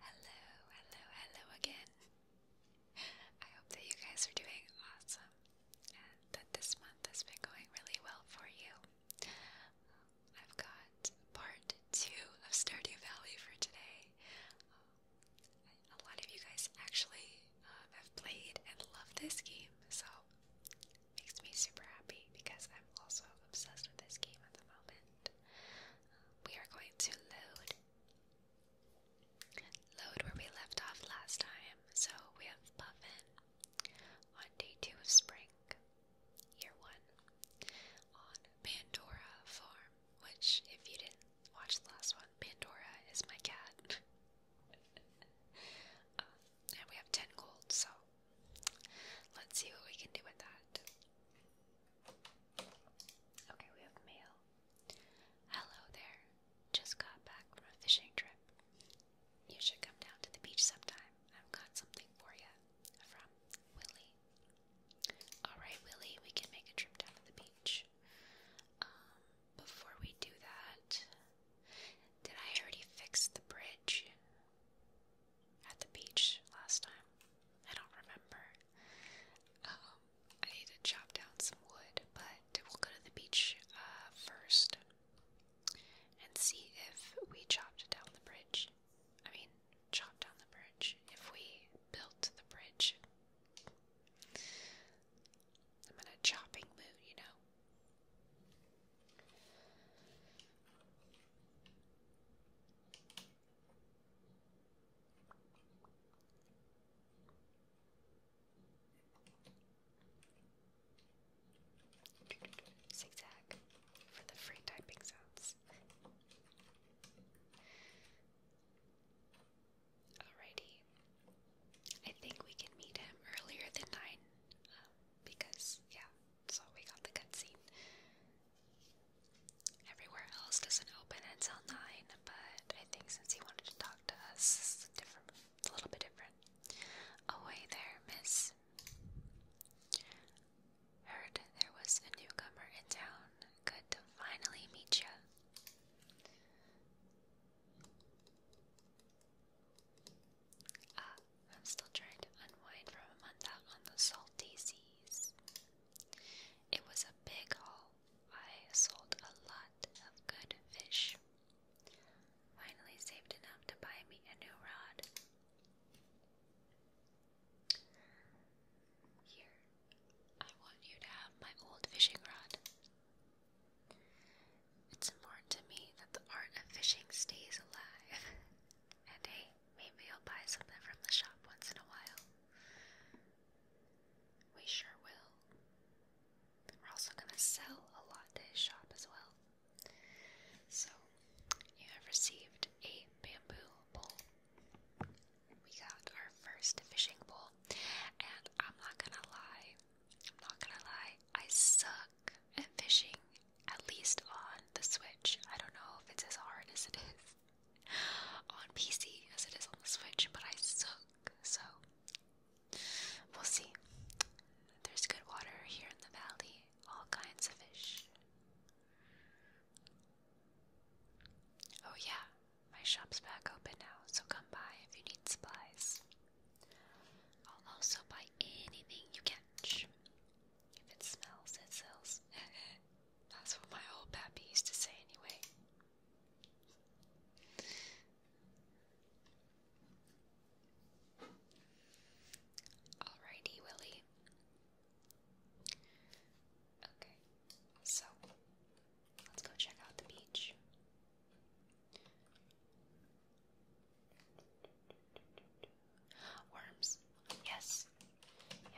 Hello, hello, hello again. I hope that you guys are doing awesome and that this month has been going really well for you. I've got part two of Stardew Valley for today a lot of you guys actually um, have played and love this game, so it makes me super happy because I'm also obsessed with this game at the moment. we are going to load, load where we left off last time. So we have Puffin on day two of spring, year one, on Pandora Farm. Which, if you didn't watch the last one, Pandora is my cat. and we have 10 gold, so let's see what we can do with that. Okay, we have mail. Hello there. Just got back from a fishing trip. You should come down to the beach sometime. I've got something for you. From Willie. Alright, Willie, we can make a trip down to the beach. Um, before we do that, did I already fix the bridge at the beach last time? I don't remember. Um, I need to chop down some wood, but we'll go to the beach uh, first and see if we chopped down the bridge. I mean, chopped down the bridge. If we built the bridge. I'm in a chopping mood, you know. Zigzag for the free typing sounds. Alrighty. I think we can meet him earlier than 9. Um, because, yeah, so we got the cutscene. Everywhere else doesn't open until 9, but I think since he wanted to talk to us, it's different, a little bit different. Away there, miss. Heard there was a newcomer in town. Good to finally meet you. Ah, I'm still trying to unwind from a month out on the salty seas. It was a big haul. I sold a lot of good fish. Finally saved enough to buy me a new rod. Here, I want you to have my old fishing rod. It's important to me that the art of fishing stays alive. and hey, maybe I'll buy something from the shop once in a while. We sure will. We're also gonna sell a lot to his shop as well. So, you have received a bamboo bowl we got our first fishing pole, and I'm not gonna lie, I'm not gonna lie, I suck at fishing, at least on the Switch. I don't know if it's as hard as it is on PC as it is on the Switch, but I suck, so we'll see. There's good water here in the valley, all kinds of fish. Oh, yeah, my shop's back open now, so come by if you need supplies. I'll also buy anything you catch. If it smells, it sells. That's what my old pappy used to say anyway. Alrighty, Willie. Okay, so Let's go check out the beach. Worms. Yes.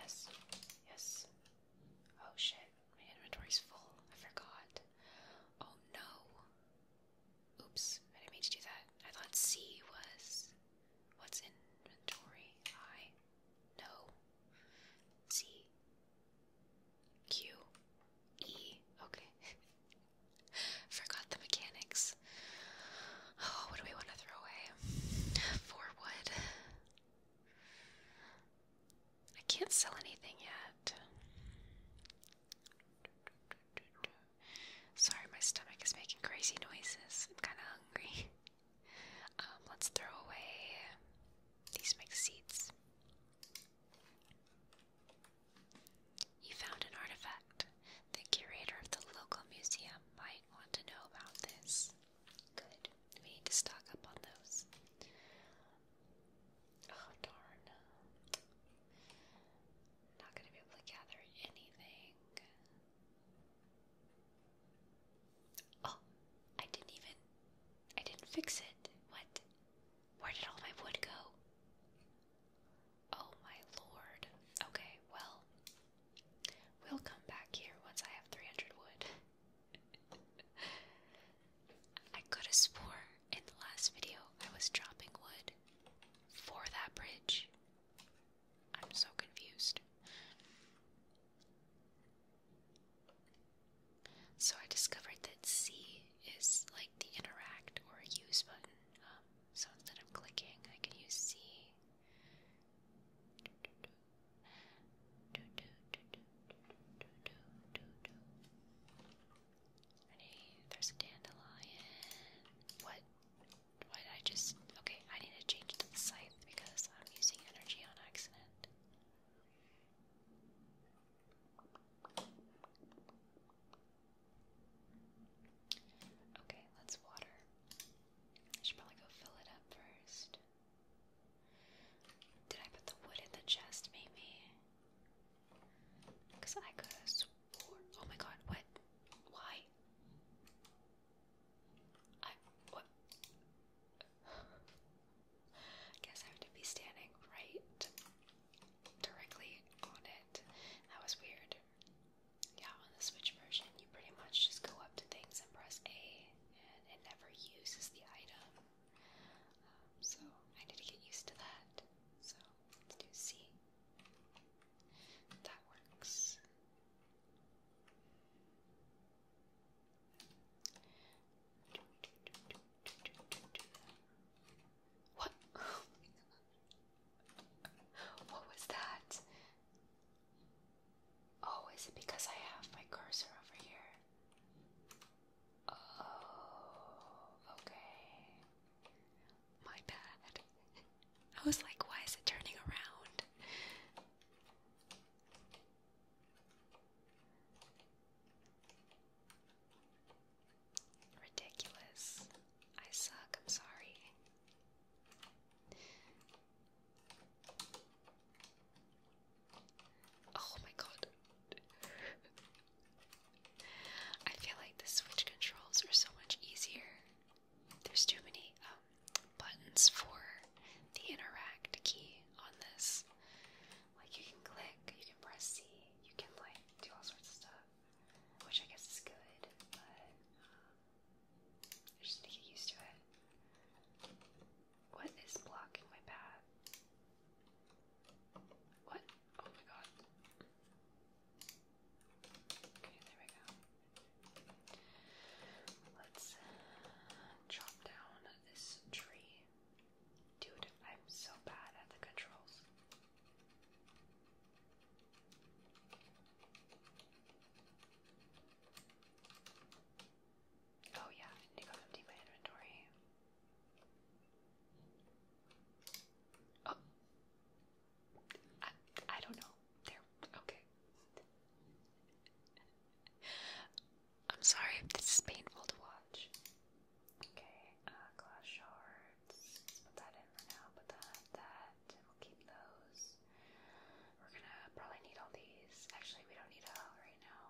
Yes. Yes. Oh shit. My inventory's full. I forgot. Oh no. Oops. I didn't mean to do that. I thought C was. What's inventory? I. No. C. Q E. Okay. Forgot the mechanics. Oh, what do we want to throw away? Four wood. I can't sell anything yet. Sorry, my stomach is making crazy noises. I'm kind of hungry. Um, let's throw away. These mix seeds. You found an artifact. The curator of the local museum might want to know about this. Good. We need to stock up on those. Oh, darn. Not going to be able to gather anything. Oh, I didn't even. I didn't fix it. What? Where did all my wood go? Oh my lord. Okay, well, we'll come back here once I have 300 wood. I could have swore in the last video I was dropping wood for that bridge. I'm so confused. So I discovered that C is like the interact or use button. Um, so instead of clicking, I can use C. There's a dandelion. What? What? I just. Okay, I need to change the scythe because I'm using energy on accident. Okay, let's water. I should probably go fill it up first. Did I put the wood in the chest, maybe? Because I could Oh my god, what? Why? I. What? I guess I have to be standing right directly on it. That was weird. Yeah, on the Switch version, you pretty much just go up to things and press A, and it never uses the item. Um, so I need to get used to that. So let's do C. That works. What? what was that? Oh, is it because I have my cursor over here? Oh, okay. My bad. I was like, why is it turning around? Ridiculous. I suck, I'm sorry. Oh my god. I feel like the Switch controls are so much easier. There's too many um, buttons for the interact key on this. Like you can click, you can press C, you can like do all sorts of stuff, which I guess is good, but um, just to get used to it. What is blocking my path? What? Oh my god. Okay, there we go. Let's chop uh, down this tree. Dude, I'm so bad at the controls. Oh yeah, need to empty my inventory. Oh, I, I don't know. There, okay. I'm sorry this is painful to watch. Okay, uh, glass shards. put that in for now. Put that, that, we'll keep those. We're gonna probably need all these. Actually, we don't need all right now.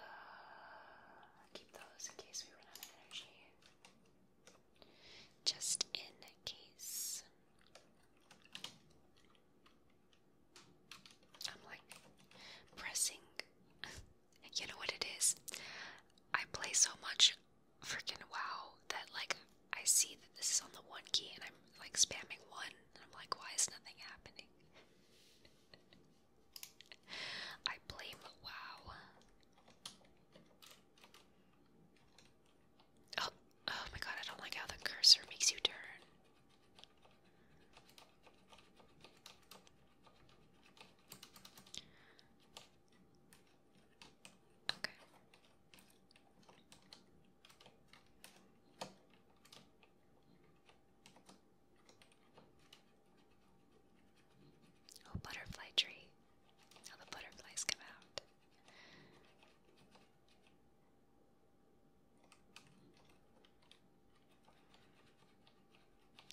Uh, keep those in case we run out of energy. Just in case. I'm like pressing. you know what it is? I play so much freaking WoW that like I see that this is on the one key and I'm like spamming one and I'm like, why is nothing happening? I blame WoW. Oh, oh, my god, I don't like how the cursor makes you turn. Okay. Oh, butterfly tree. Now the butterflies come out.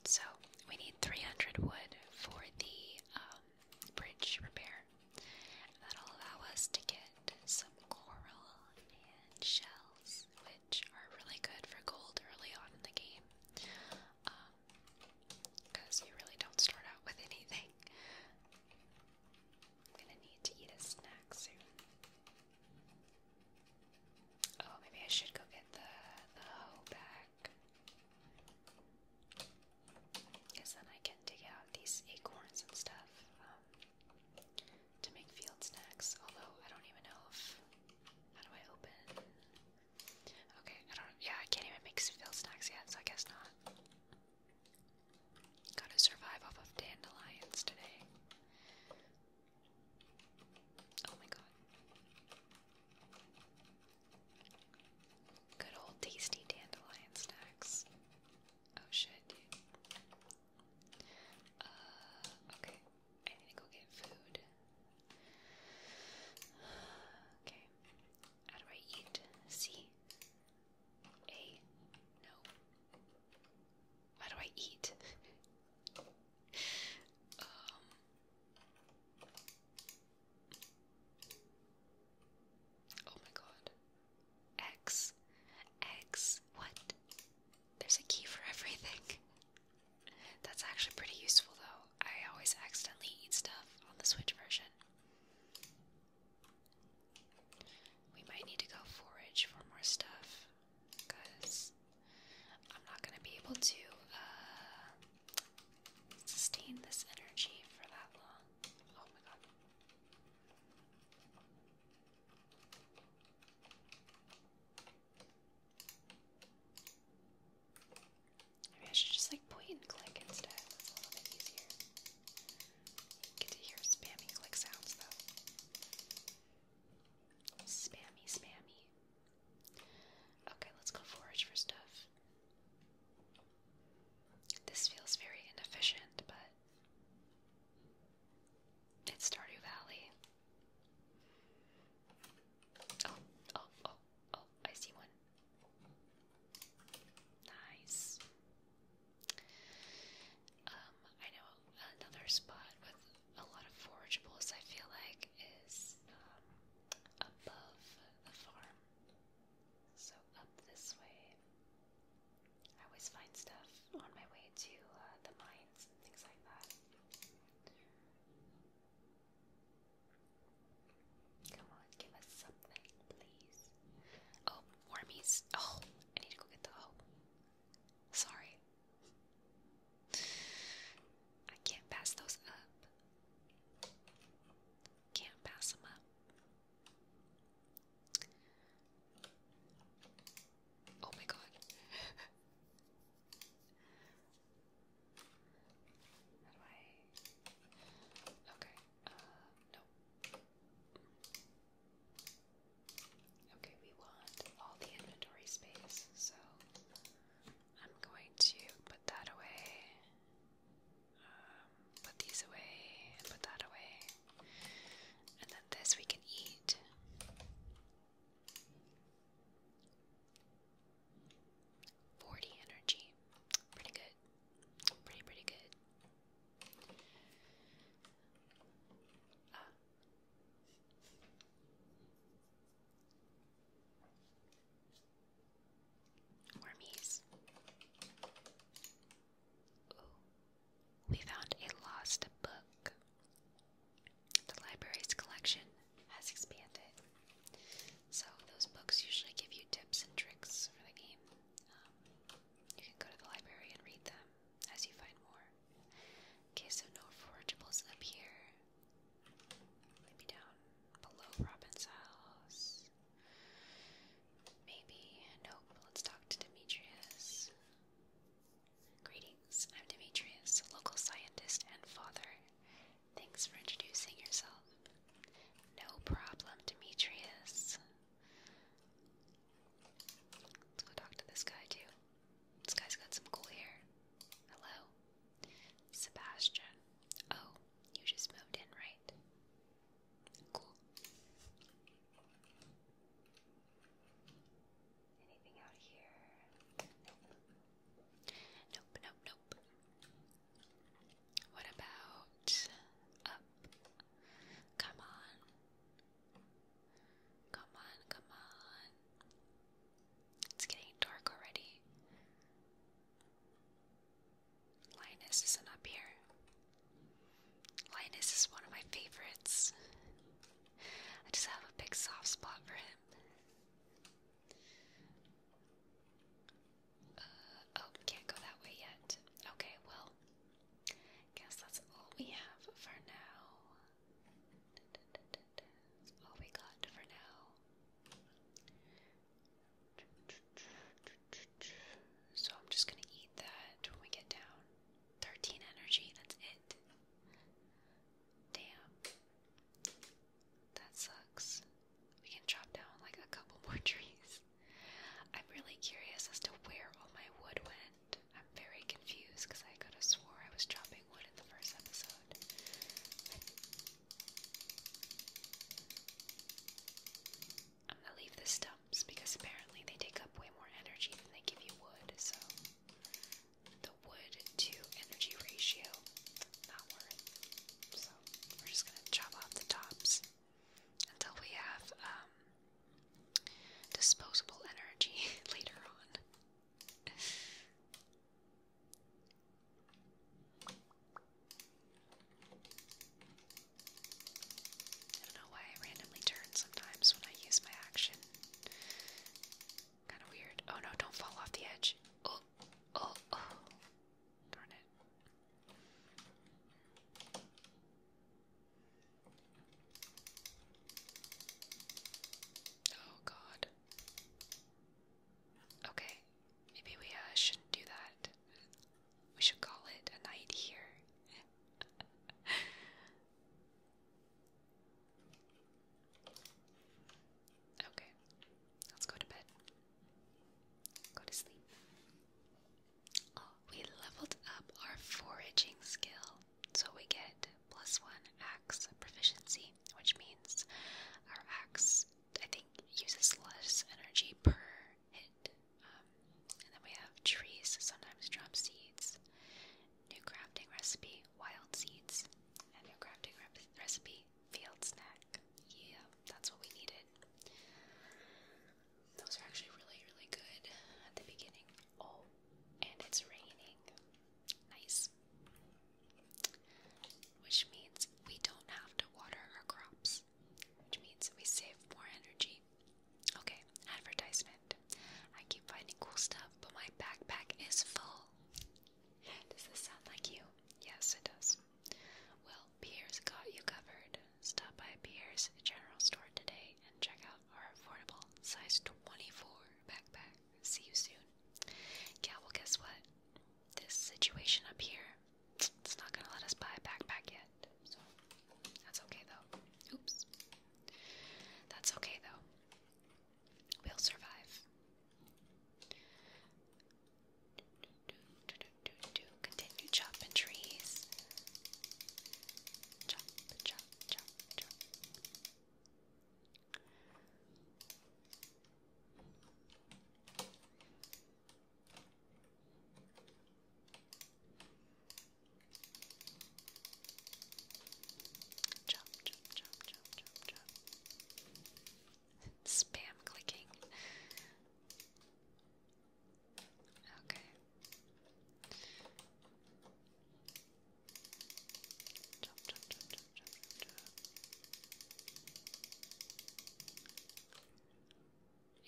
So we need 300 wood for the um, bridge repair. That'll allow us to get some coral and shells, which are really good for gold early on in the game. Because um, you really don't start out with anything. I'm gonna need to eat a snack soon. Oh, maybe I should go get the the hoe back. Because then I can dig out these acorns and stuff um, to make field snacks. Although I don't even know if how do I open? Okay, I don't. Yeah, I can't even make field snacks yet, so I guess not. Gotta survive off of dandelions today. Oh my god. Good old tasty dandelion snacks. Oh shit, uh, okay. I need to go get food. Okay. How do I eat? See? A. No. What do I eat? Um, oh my god. X. X. What? There's a key for everything. That's actually pretty useful though. I always accidentally eat stuff on the Switch version. We might need to go forage for more stuff because I'm not going to be able to uh, sustain this energy for that long. Oh my god. Maybe I should just like point and click instead. That's a little bit easier get to hear spammy click sounds though. Spammy, spammy. Okay, let's go forage for stuff. This feels very inefficient, but it's Stardew Valley. Oh, oh, oh, oh, I see one. Nice. Um, I know another spot with a lot of forageables. I feel like is um, above the farm. So up this way. I always find stuff on my way to uh, the mines and things like that. Come on, give us something, please. Oh, wormies. Oh, I need to go get the oh. Sorry. I can't pass those up. Can't pass them up. Oh my god. How do I? Okay. Uh, Okay, we want all the inventory space, so I'm going to put that away, um, put these away, and put that away. And then this we can eat. Forty energy. Pretty good. Pretty, pretty good. Wormies. Ooh. We found a lost book. The library's collection has expanded. So, those books usually give you tips and tricks for the game you can go to the library and read them as you find more. Okay, so no forageables up here. Maybe down below Robin's house. Maybe. Nope. Let's talk to Demetrius. Greetings. I'm Demetrius, local scientist and father. Thanks for introducing yourself. No problem, Demetrius. Let's go talk to this guy too. This guy's got some cool hair. Hello. Sebastian. Oh, you just moved in, right? Cool. Anything out here? Nope. Nope, nope, what about up? Come on. Come on, come on. It's getting dark already. Linus isn't up here. Linus is one of my favorites. I just have a big soft spot for him oh, can't go that way yet. Okay, well, guess that's all we have for now. all we got for now. So I'm just gonna eat that when we get down. 13 energy, that's it. Damn. That sucks. We can chop down like a couple more trees. I'm really curious as to where all my wood went. I'm very confused because I could have swore I was chopping wood in the first episode. I'm gonna leave the stumps because apparently they take up way more energy than they give you wood, so the wood to energy ratio, not worth. So we're just gonna chop off the tops until we have um, disposable energy later on. I don't know why I randomly turn sometimes when I use my action. Kind of weird. Oh no, don't fall off the edge. Oh, oh, oh. Darn it. Oh god. Okay, maybe we uh, shouldn't do that. We should call it a night here. okay, let's go to bed. Go to sleep. Oh, we leveled up our foraging skill, so we get plus one axe proficiency, which means our axe, I think, uses less energy per hit. Um, and then we have trees, sometimes drop seeds, new crafting recipe, wild seeds, and new crafting recipe, field snack. Yeah that's what we needed. Those are actually really, really good at the beginning. Oh, and it's raining. Nice. Which means we don't have to water our crops, which means we save more energy. Okay, advertisement. I keep finding cool stuff, but my backpack is full. Does this sound like you? Yes, it does. Well, Piers got you covered. Stop by Piers General Store today and check out our affordable size 24 backpack. See you soon. Yeah, well, guess what? This situation up here, it's not gonna let us buy a backpack yet. So, that's okay though. Oops. That's okay though. We'll survive. Continue chopping trees. Chop, chop, chop, chop. Chop, chop, chop, chop, chop, chop spam clicking. Okay.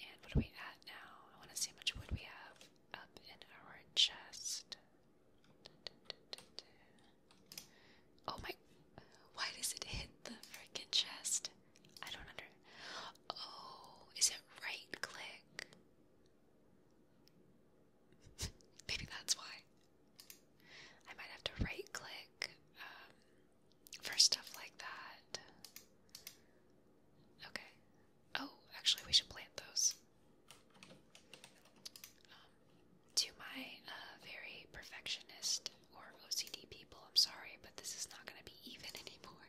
And what are we at now? I want to see how much wood we have up in our chest. Oh my, why does it hit the freaking chest? I don't under. Oh, is it right click? Maybe that's why. I might have to right click um, for stuff like that. Okay. Oh, actually, we should plant those. Um, to my uh, very perfectionist or OCD people, I'm sorry, but this is not going to be even anymore.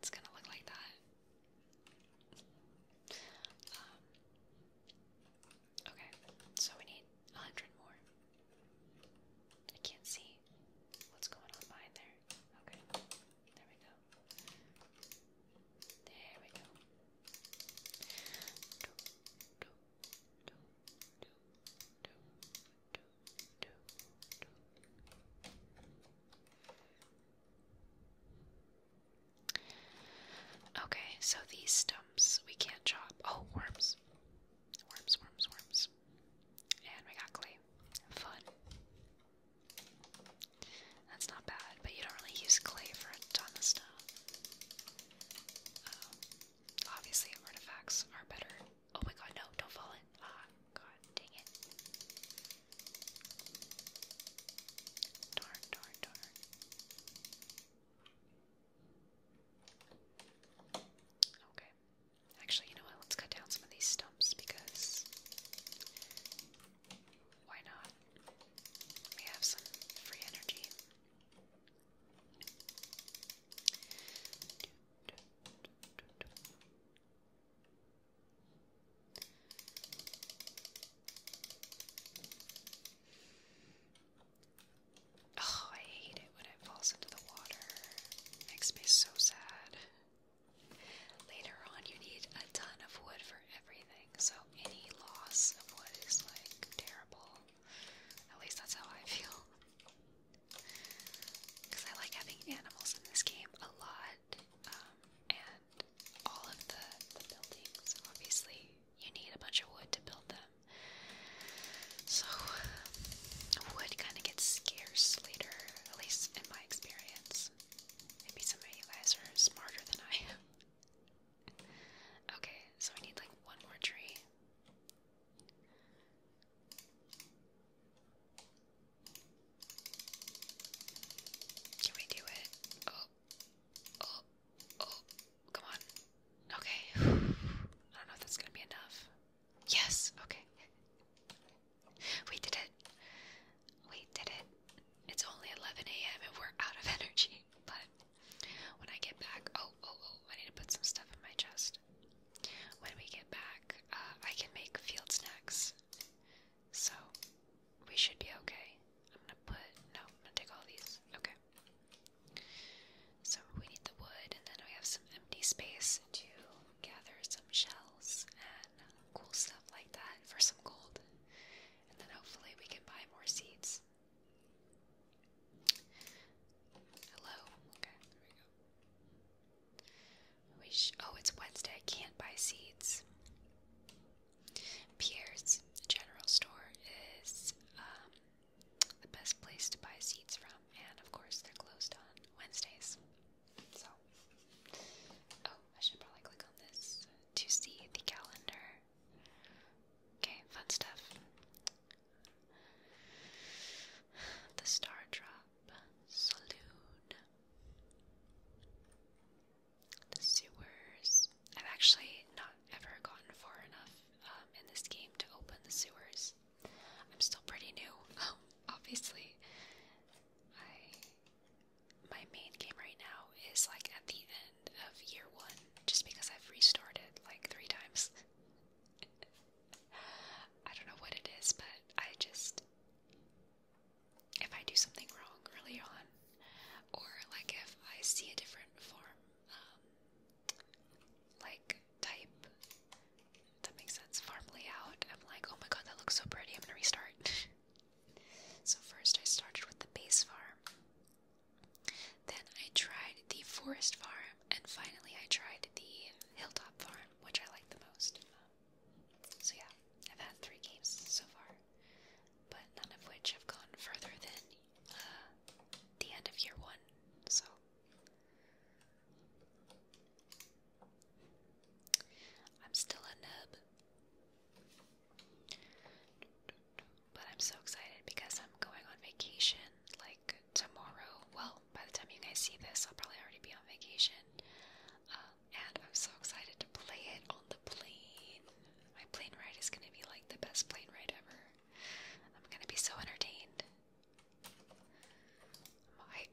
It's going to look like that. Um, okay, so we need 100 more. I can't see what's going on behind there. Okay, there we go. There we go. Do, Okay, so these stumps we can't chop. Oh, worms. Worms, worms, worms. And we got clay. Fun. That's not bad, but you don't really use clay for a ton of stuff. Um, obviously, artifacts are better Oh my god, no, don't fall in. Ah, god dang it. Darn, darn, darn. Okay. Actually, you know what? Let's cut down some of these stumps because why not? We have some free energy. Oh, I hate it when it falls into the water. makes me so sad. Later on, you need a ton of wood for everything, so any loss of wood is like terrible. At least that's how I feel. Because I like having animals in this game a lot. Um, and all of the buildings, obviously, you need a bunch of wood to build them. So, wood kind of gets scarce later, at least in my experience. Maybe some of you guys are smarter than I am. Okay, so I need like one more tree. Can we do it? Oh, oh, oh, come on. Okay. I don't know if that's gonna be enough. Yes, okay. We did it. We did it. It's only 11 a.m. and we're out of energy, but when I get back, oh, oh, oh, I need to put some stuff in my chest. When we get back, uh, I can make field snacks. So we should be okay. I'm gonna put no, I'm gonna take all these. Okay. So we need the wood, and then we have some empty space to gather some shells and cool stuff like that for some gold. And then hopefully we can buy more seeds. Hello. Okay, there we go. Wish. Oh, it's Wednesday. I can't buy seeds. Pierre's General Store is um, the best place to buy seeds from, and of course they're closed on Wednesdays. So, oh, I should probably click on this to see the calendar. Okay, fun stuff. The Star Drop Saloon. The sewers. I've actually not ever gotten far enough um, in this game to open the sewers. I'm still pretty new, um, obviously. I my main game right now is like at the end of year one, just because I've restarted like three times. I don't know what it is, but I just. If I do something wrong early on, or like if I see a different form, um, like type, that makes sense, farm layout, I'm like, oh my god, that looks so pretty, I'm gonna restart. so, first I started with the base farm, then I tried the forest farm, and finally I tried the hilltop farm, which I like the most. So yeah, I've had three games so far, but none of which have gone further than uh, the end of year one. So. I'm still a nub. But I'm so excited because I'm going on vacation like tomorrow. Well, by the time you guys see this, I'll probably already be on vacation. Um, and I'm so excited to play it on the plane. My plane ride is going to be like the best plane ride ever. I'm going to be so entertained. i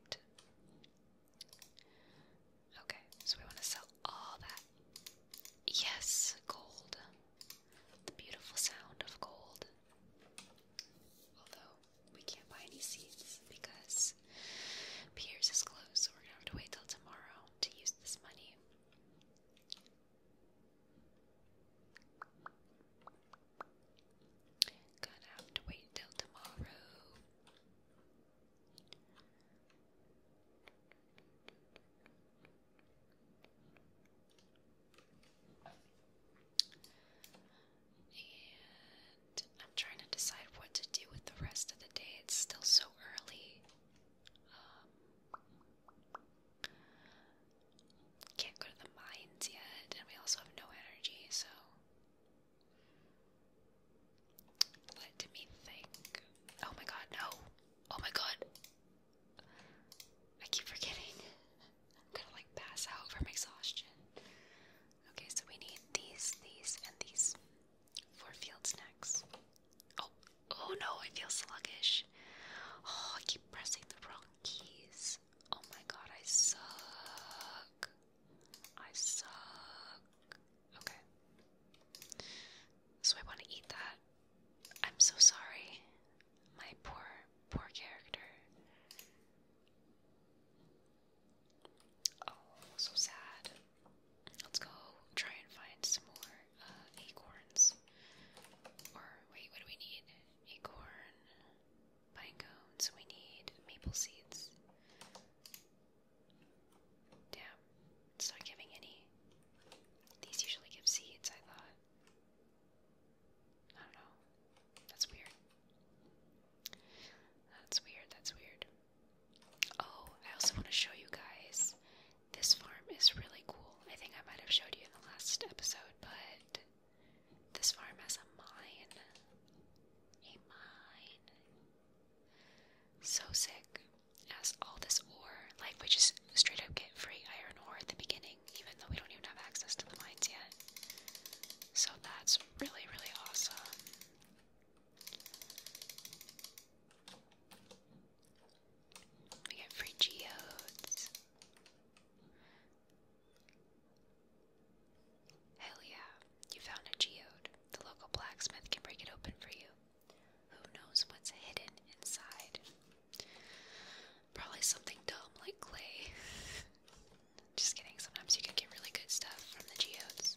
Okay, so we want to sell all that. Yes, gold the beautiful sound of gold. Although we can't buy any seeds because Piers is closed, we're gonna have to wait till tomorrow to use this money. Gonna have to wait till tomorrow. I'm trying to decide what to do with the rest of the day. It's still so early. Um, can't go to the mines yet, and we also have no energy, so. Let me think. Oh my god, no! Oh my god! I keep forgetting. I'm gonna like pass out from exhaustion. Okay, so we need these, these, and these for field snacks. Oh, oh no, I feel sluggish. Oh, I keep pressing the wrong keys. Oh my god, I suck. I suck. Okay. So I want to eat that. I'm so sorry my poor, poor character. Oh, so sad. Let's go try and find some more uh, acorns. Or, wait, what do we need? Acorn, pine cones, we need maple seeds. Damn, it's not giving any. These usually give seeds, I thought. I don't know. That's weird. That's weird. That's weird. Oh, I also want to show you guys. This farm is really cool. I think I might have showed you in the last episode, but this farm has a mine. A mine. So sick. It has all this ore. Like, we just straight up get free iron ore at the beginning even though we don't even have access to the mines yet. So that's really, really awesome. We get free geodes. Hell yeah, you found a geode. The local blacksmith can break it open for you. Who knows what's hidden inside? Probably something dumb like clay. Just kidding, sometimes you can get really good stuff from the geodes.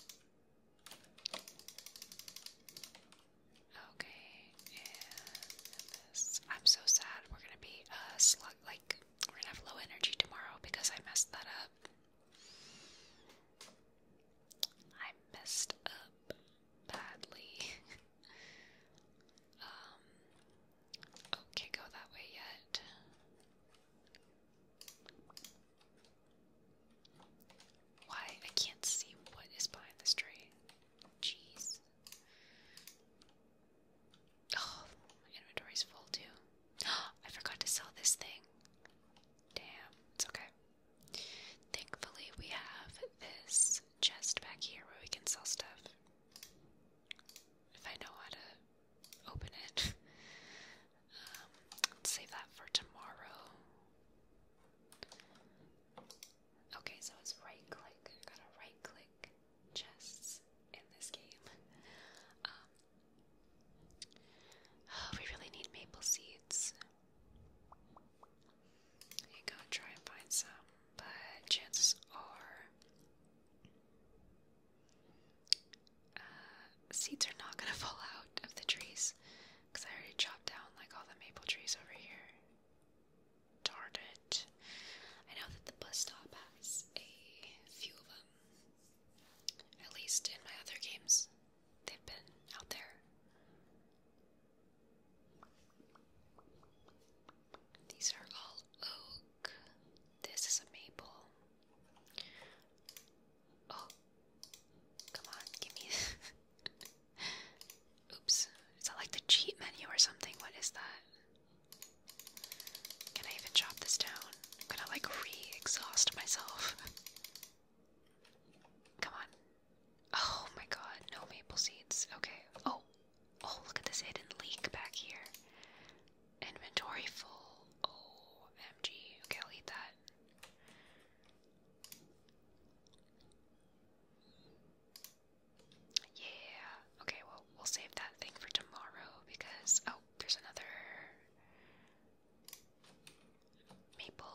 Okay, and I'm so sad we're gonna be uh slug like we're gonna have low energy tomorrow because I messed that up. I messed up badly. Um, oh, can't go that way yet. Why? I can't see what is behind this tree. Jeez. Oh, my inventory's full too. I forgot to sell this thing. Damn, it's okay. Thankfully, we have this chest back here where we can sell stuff if I know how to open it. Um, save that for tomorrow. Okay, so it's right click. gotta right click chests in this game. oh, we really need maple seeds. You gotta try and find some, but chances are uh, seeds are not gonna fall out of the trees because I already chopped down like all the maple trees over here. Darn it. I know that the bus stop has a few of them. At least in my other games, they've been out there. These are all oak. This is a maple. Oh, come on, give me. Oops. Is that like the cheat menu or something? What is that? Can I even chop this down? I'm gonna like re exhaust myself. Come on. Oh my god, no maple seeds. Okay. Oh, Oh, look at this hidden leak back here. Inventory full. Oh, MG. Okay, I'll eat that. Yeah. Okay, well, we'll save that thing for tomorrow because. Oh, there's another. Maple.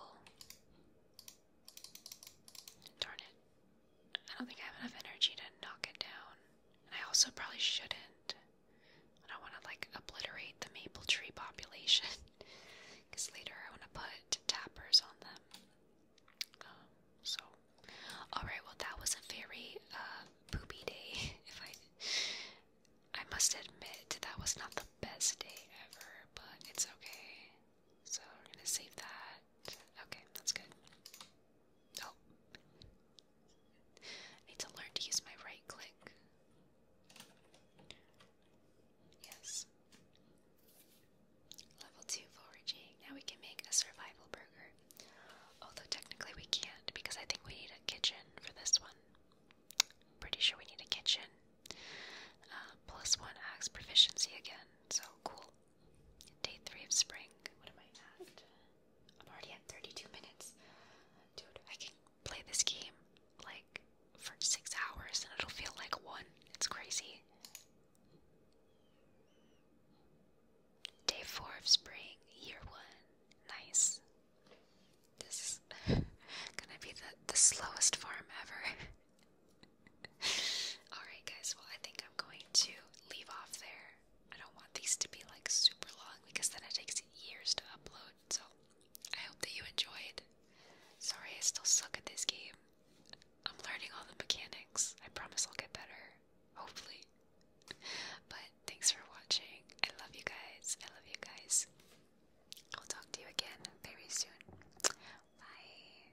Darn it. I don't think I have enough energy to knock it down. I also probably shouldn't. I don't want to, like, obliterate the maple tree population. Because later I want to put tappers on them. Um, so. Alright, well, that was a very, uh, poopy day. If I. I must admit, that was not the best day ever, but it's okay. So we're gonna save that. Okay, that's good. Oh. need to learn to use my right click. Yes. Level 2 foraging. Now we can make a survival burger. Although technically we can't because I think we need a kitchen for this one. Pretty sure we need a kitchen. Uh, one axe proficiency again, so cool. Day three of spring. What am I at? I'm already at 32 minutes. Dude, I can play this game like for six hours and it'll feel like one. It's crazy. Day four of spring, year one. Nice. This is gonna be the, the slowest farm ever. Alright, guys, well, I think I'm going to leave off there. I don't want these to be like super long because then it takes years to upload. So I hope that you enjoyed. Sorry, I still suck at this game. I'm learning all the mechanics. I promise I'll get better. Hopefully. But thanks for watching. I love you guys. I love you guys. I'll talk to you again very soon. Bye.